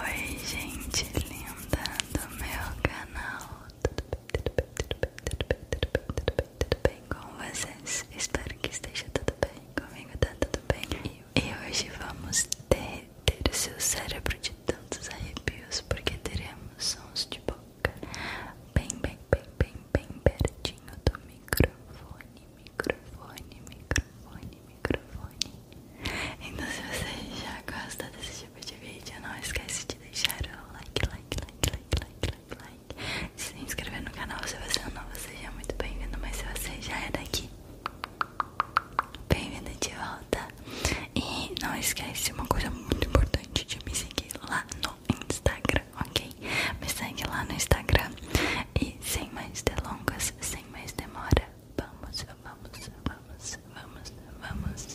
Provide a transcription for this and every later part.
Oi, gente linda do meu canal. Tudo bem, tudo bem, tudo bem, tudo bem, tudo bem, tudo bem, com vocês? Espero que esteja tudo bem. Comigo tá tudo bem. E hoje vamos ter, seu cérebro de tantos arrepios, porque teremos sons de boca bem, bem, bem, bem, bem pertinho do microfone microfone, microfone, microfone. Então se você já gosta desse tipo de vídeo, não esquece de deixar o like, like, like, like, like, like, like. De se inscrever no canal se você é novo, seja muito bem-vindo, mas se você já é daqui, bem-vindo de volta. E não esquece uma coisa muito importante de me seguir lá no Instagram, ok? Me segue lá no Instagram. E sem mais delongas, sem mais demora, Vamos, vamos, vamos, vamos, vamos. Vamos,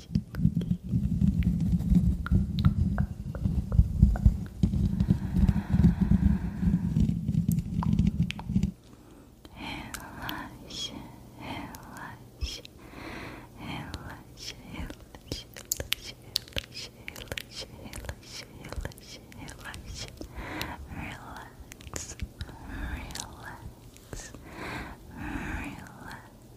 Relaxa, relaxa, relaxa, relaxa, relaxa, relaxa, relaxa, relaxa, relaxa, relax, relax, relax.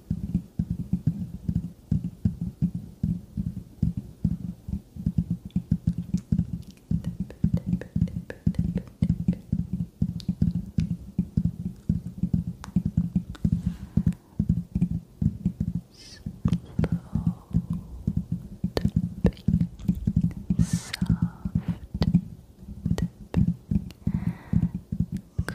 Soft, soft, soft, soft, comb tip.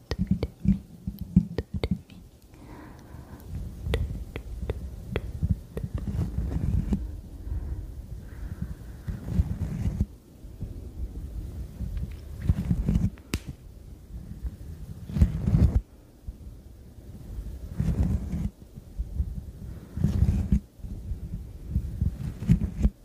do me, do me, do me. Good.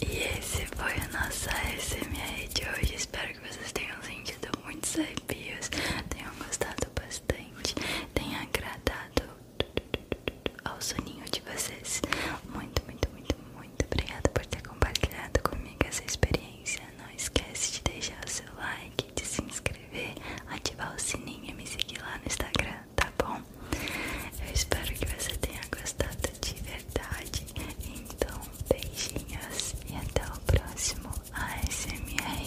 E esse foi o nosso ASMR de hoje. Espero que vocês tenham sentido muitos arrepios, tenham gostado bastante, tenha agradado ao soninho de vocês. Muito, muito, muito, muito obrigada por ter compartilhado comigo essa experiência. Não esquece de deixar o seu like de se inscrever, ativar o sininho e me seguir lá no Instagram, tá bom? Eu espero que você tenha gostado de verdade. Então, beijinhos e até o próximo ASMR.